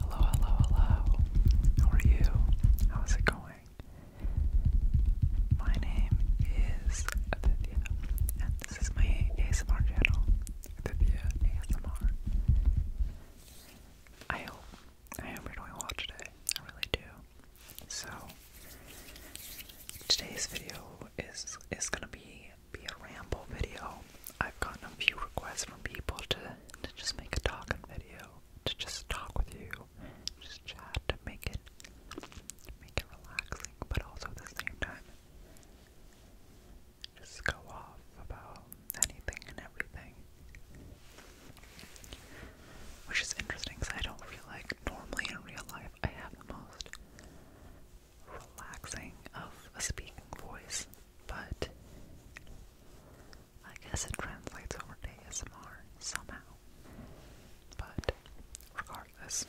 Hello, hello, hello. How are you? How's it going? My name is Aditya, and this is my ASMR channel, Aditya ASMR. I hope, I hope you're doing well today. I really do. So, today's video is is gonna be be a ramble video. I've gotten a few requests from people to to just make a talking video, to just talk with you, just chat, to make it make it relaxing, but also at the same time just go off about anything and everything. Which is interesting because I don't feel like normally in real life I have the most relaxing of a speaking voice, but I guess it translates over to ASMR somehow. But regardless,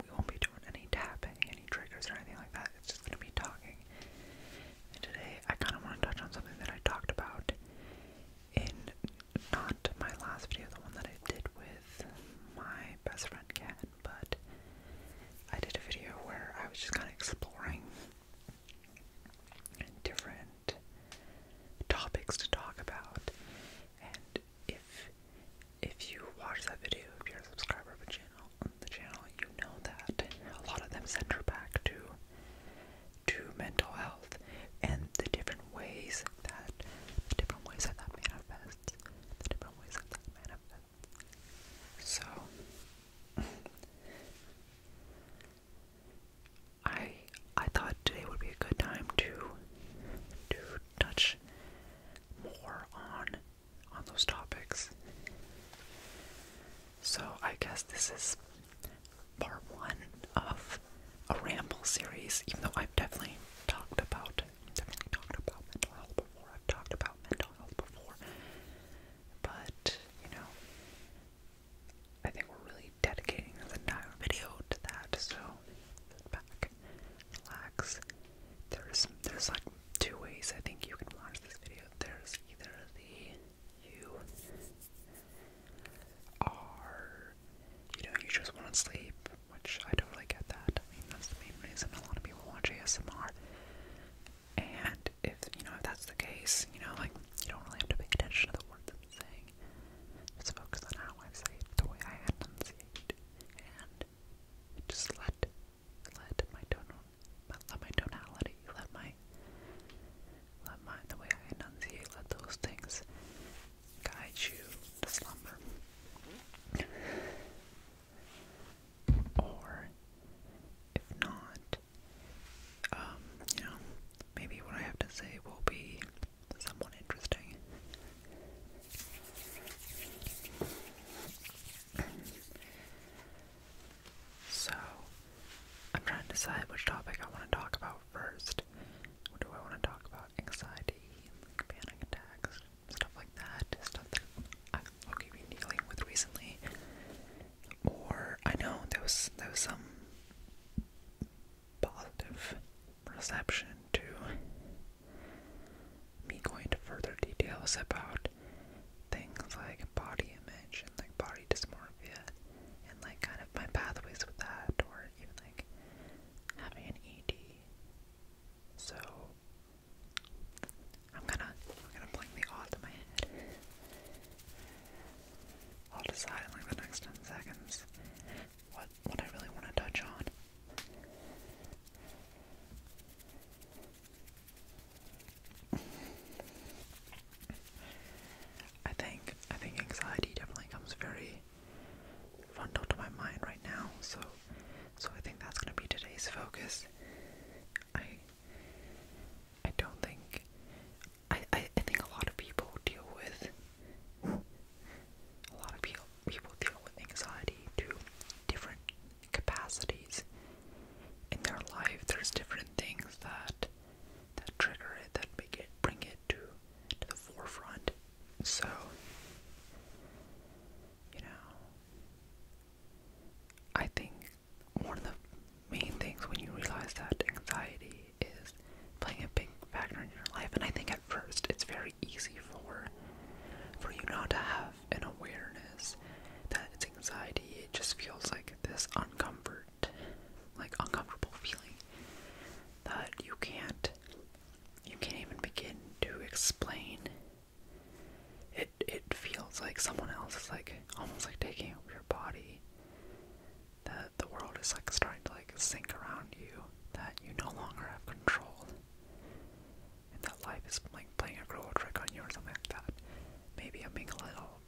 we won't be doing any tapping, any triggers, or anything like that. It's just going to be talking. And today, I kind of want to touch on something that I talked about in not my last video, the one that I did with my best friend can, but I did a video where I was just kind of exploring different topics to talk about, and if if you watch that video, if you're a subscriber of the channel, the channel, you know that a lot of them center back to to mental health and the different ways that the different ways that that manifests, the different ways that that manifests. So I I thought today would be a good time to to touch more on on those topics. So I guess this is part one of a ramble series, even though I've definitely talked about definitely talked about mental health before. I've talked about mental health before. But, you know, I think we're really dedicating this entire video to that, so back, relax. There's there's like two ways I think you can watch this video. There's either the you are you know, you just want to sleep, which I totally get that. I mean, that's the main reason a lot of people watch ASMR. And if, you know, if that's the case, you know, like, you don't really have to pay attention to the words I'm saying. Just focus on how I say it, the way I enunciate, and just let, let my tonal, let my tonality, let my, let my, the way I enunciate, let those things guide you to slumber. Or, if not, um, you know, maybe what I have to say will be somewhat interesting. So, I'm trying to decide which topic I want to talk about first. What do I want to talk about? anxiety, panic attacks, stuff like that, stuff that I've been dealing with recently. Or I know there was there was some positive reception to me going into further details about things like body image and like body dysmorphia and like kind of my pathways with that or even like having an ED. So I'm gonna I'm gonna blink the odds in my head. I'll decide in like the next ten seconds what what I really want to touch on. I think I think anxiety definitely comes very front of my mind right now. So, so I think that's gonna be today's focus. I, I don't think, I, I, I think a lot of people deal with, a lot of people people deal with anxiety to different capacities in their life. There's different things that that trigger it, that make it, bring it to to the forefront. So, you know, I think one of the main things when you realize that anxiety is playing a big factor in your life, and I think at first it's very easy for for you not to have an awareness that it's anxiety. It just feels like this uncomfort, like uncomfortable feeling that you can't you can't even begin to explain. It it feels like someone else is like almost like taking over your body. That the world is like starting to like sink around you, that you no longer have control. And that life is like playing a cruel trick on you or something like that. Maybe I'm being a little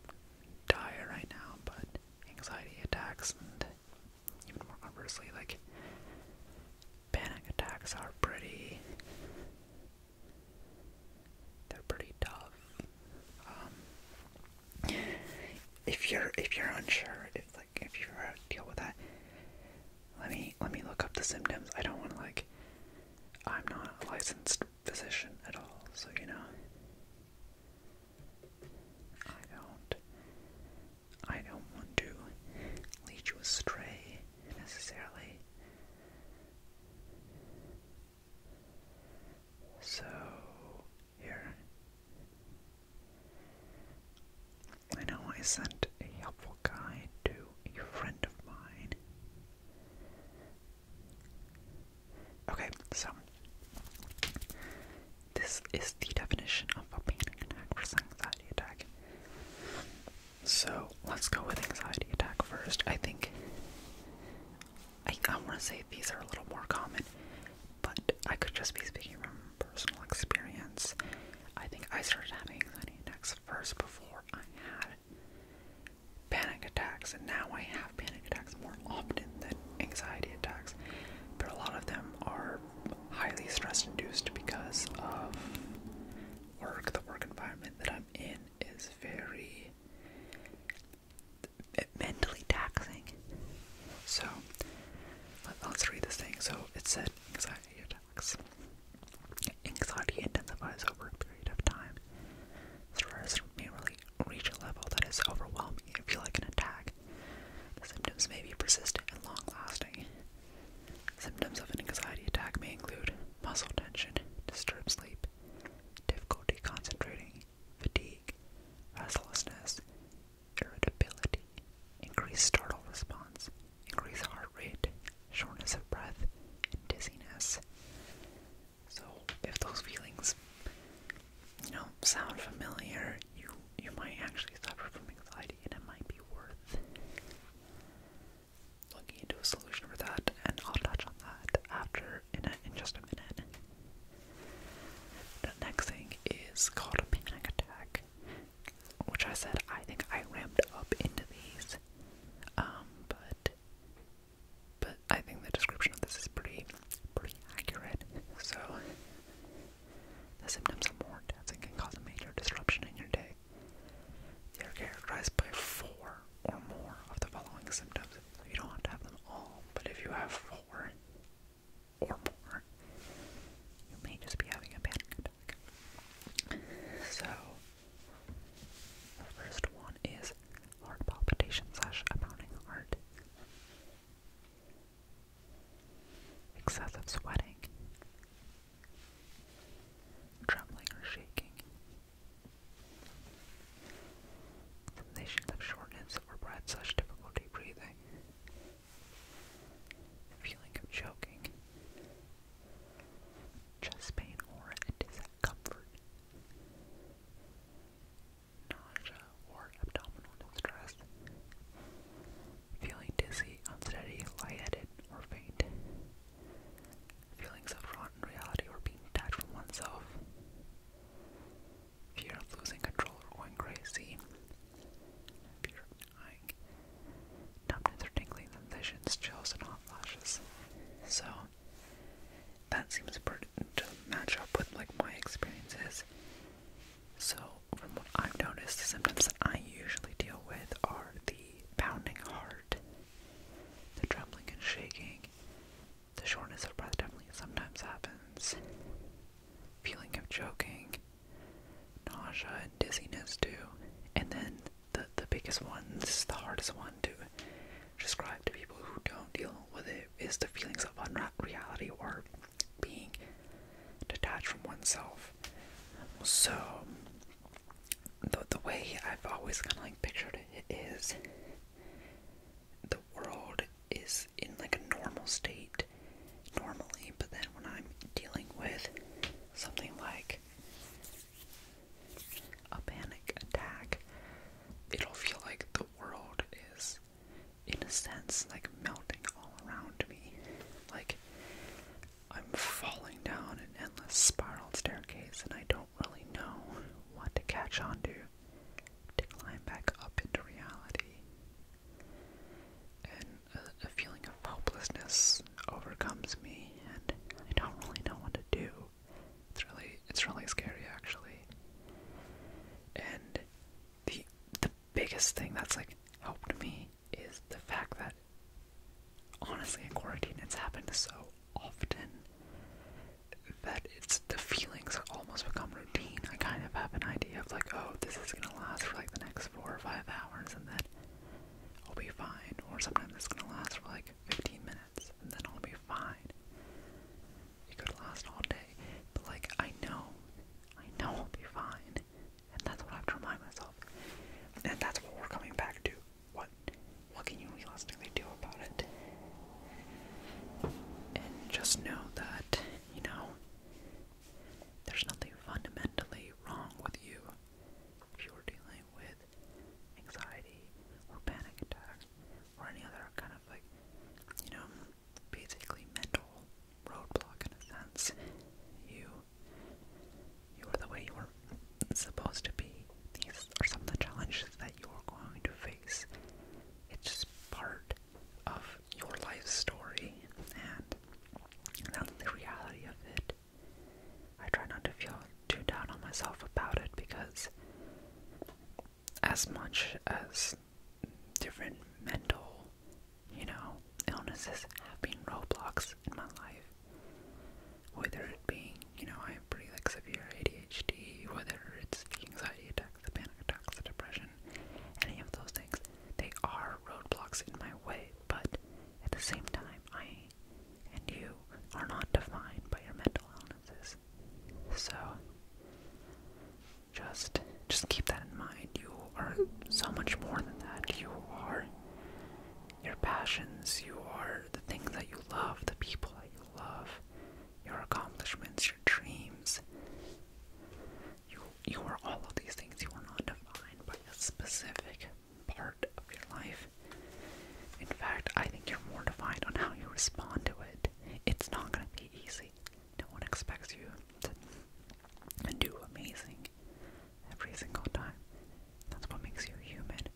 dire right now, but anxiety attacks and even more obviously, like panic attacks are pretty they're pretty tough. Um, if you're if you're unsure, if like if you ever deal with that, let me let me look up the symptoms. I don't want to like I'm not a licensed physician at all, so you know. I don't I don't want to lead you astray necessarily. So here I know I sent a helpful guide to a friend of mine. Okay, so this is the definition of a panic attack versus anxiety attack. So let's go with anxiety attack first. I think I, I want to say these are a little more common, but I could just be speaking from personal experience. I think I started having anxiety attacks first before I had panic attacks, and now I have panic attacks more more often than anxiety attacks, but a lot of them are highly stress induced because of work. The work environment that I'm in is very mentally taxing. So let's read this thing. So it said anxiety attacks. Anxiety intensifies over a period of time. Stress may reach a level that is overwhelming and feel like an attack. symptoms may be persistent and long lasting. Symptoms of an anxiety attack may include muscle tension, disturbed sleep, difficulty concentrating, fatigue, restlessness, irritability, increased startle response, increased heart rate, shortness of breath, and dizziness. So, if those feelings, you know, sound familiar you you might actually suffer from anxiety and it might be worth looking into a solution for that and I'll touch on that after in, in just a minute. The next thing is called a panic attack, which I said I think I ramped up into these, um, but but I think the description of this is pretty, pretty accurate. So, the symptoms are more intense and can cause a major disruption in your day. They are characterized by four or more of the following symptoms. So you don't have to have them all, but if you have four or more, you may just be having a panic attack. So, the first one is heart palpitation slash pounding heart. Excessive sweating, trembling or shaking, sensations of shortness or breath such difficulty breathing, feeling of choking, chest pain or discomfort, nausea, or abdominal distress, feeling dizzy, unsteady, lightheaded, or faint, feelings of rotten reality or being detached from oneself, fear of losing control or going crazy, fear of dying, numbness or tingling sensations, chills, and hot flashes. So, that seems to match up with like my experiences. So from what I've noticed, the symptoms that I usually deal with are the pounding heart, the trembling and shaking, the shortness of breath definitely sometimes happens, feeling of choking, nausea and dizziness too, and then the the biggest one, this is the hardest one to describe to people who don't deal with it is the feelings of unreality or being detached from oneself. So, the, the way I've always kind of like pictured it is the world is in like a normal state normally, but then when I'm dealing with something like a panic attack, it'll feel like the world is in a sense, like melting all around me. Like, I'm falling down an endless spiral staircase, and I don't really know what to catch on to to climb back up into reality. And a, a feeling of hopelessness overcomes me, and I don't really know what to do. It's really it's really scary actually. And the the biggest thing that's like helped me is the fact that honestly in quarantine it's happened so often that it's the feelings almost become routine. I kind of have an idea of like, oh, this is gonna last for like the next four or five hours and then I'll be fine or sometimes it's gonna last for like fifteen minutes then I'll be fine. It could last all day, but like, I know, I know I'll be fine. And that's what I have to remind myself. And that's what we're coming back to. What what can you realistically do about it? And just know that, you know, there's nothing fundamentally wrong with you if you're dealing with anxiety or panic attacks or any other kind of like, you know, basically mental roadblock in a sense. You, you are the way you were supposed to be. These are some of the challenges that you are going to face. It's just part of your life story, and that's the reality of it. I try not to feel too down on myself about it because as much as different mental, you know, illnesses have been roadblocks in my life. Whether it be, you know, I have pretty like severe ADHD, whether it's the anxiety attacks, the panic attacks, the depression, any of those things, they are roadblocks in my way, but at the same time, I and you are not defined by your mental illnesses. So just just keep that in mind. You are so much more than that. You are your passions, you are the things that you love, the people that you love, your accomplishments, your dreams. You you are all of these things. You are not defined by a specific part of your life. In fact, I think you're more defined on how you respond to it. It's not going to be easy. No one expects you to do amazing every single time. That's what makes you human.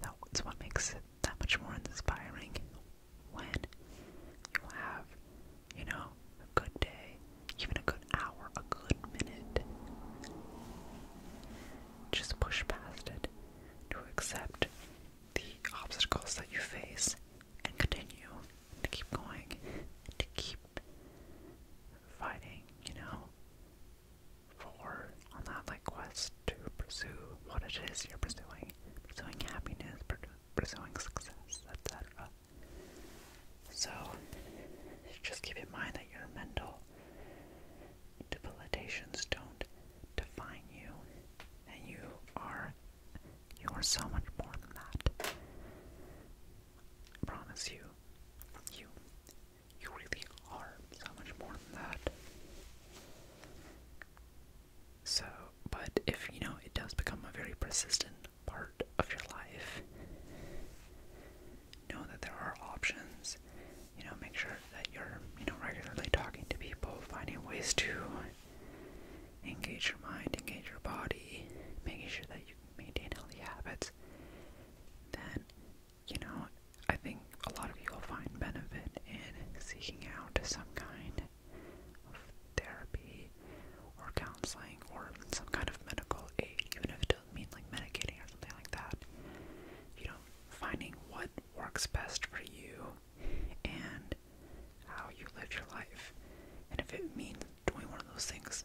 that's what makes it that much more inspiring when you have, you know, a good day, even a good hour, a good minute. Just push past it to accept the obstacles that you face and continue to keep going, to keep fighting, you know, for on that like quest to pursue what it is you're pursuing, pursuing happiness, pursuing success, etc. So just keep in mind that your mental debilitations don't define you, and you are you are so much more than that. I promise you, you you really are so much more than that. So, but if you know it does become a very persistent part of your life, know that there are options you know, make sure that you're, you know, regularly talking to people, finding ways to engage your mind, engage your body, making sure that you maintain healthy habits, then, you know, I think a lot of you will find benefit in seeking out some kind of therapy or counseling or some kind of medical aid, even if it doesn't mean like medicating or something like that. You know, finding what works best for you and how you live your life. And if it means doing one of those things,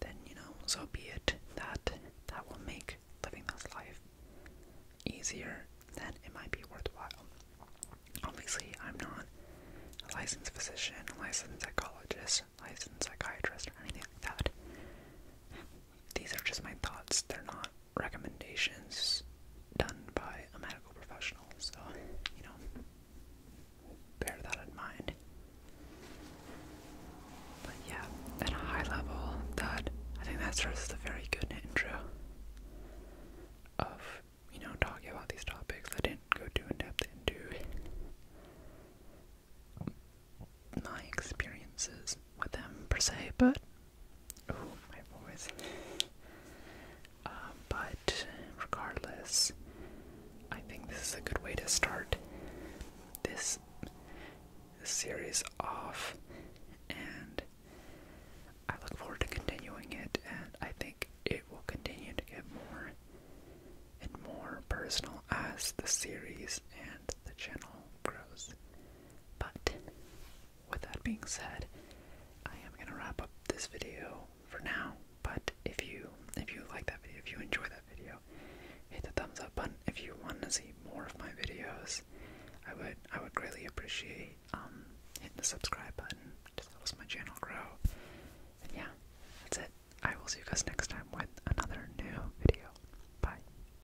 then you know, so be it. That that will make living this life easier than it might be worthwhile. Obviously, I'm not a licensed physician, a licensed psychologist, licensed psychiatrist, or anything like that. These are just my thoughts. They're not recommendations done by a medical professional, so, you know, bear that in mind. But yeah, at a high level, that I think that serves as a very good intro of, you know, talking about these topics. I didn't go too in depth into my experiences with them per se, but ooh, my voice. Uh, but regardless, I think this is a good way to start this series off, and I look forward to continuing it. And I think it will continue to get more and more personal as the series and the channel grows. But with that being said, I am gonna wrap up this video for now. But if you if you like that video, if you enjoy that video, hit the thumbs up button. If you want to see more of my videos, I would I would greatly appreciate um hitting the subscribe button. to Just us my channel grow. And yeah, that's it. I will see you guys next time with another new video. Bye.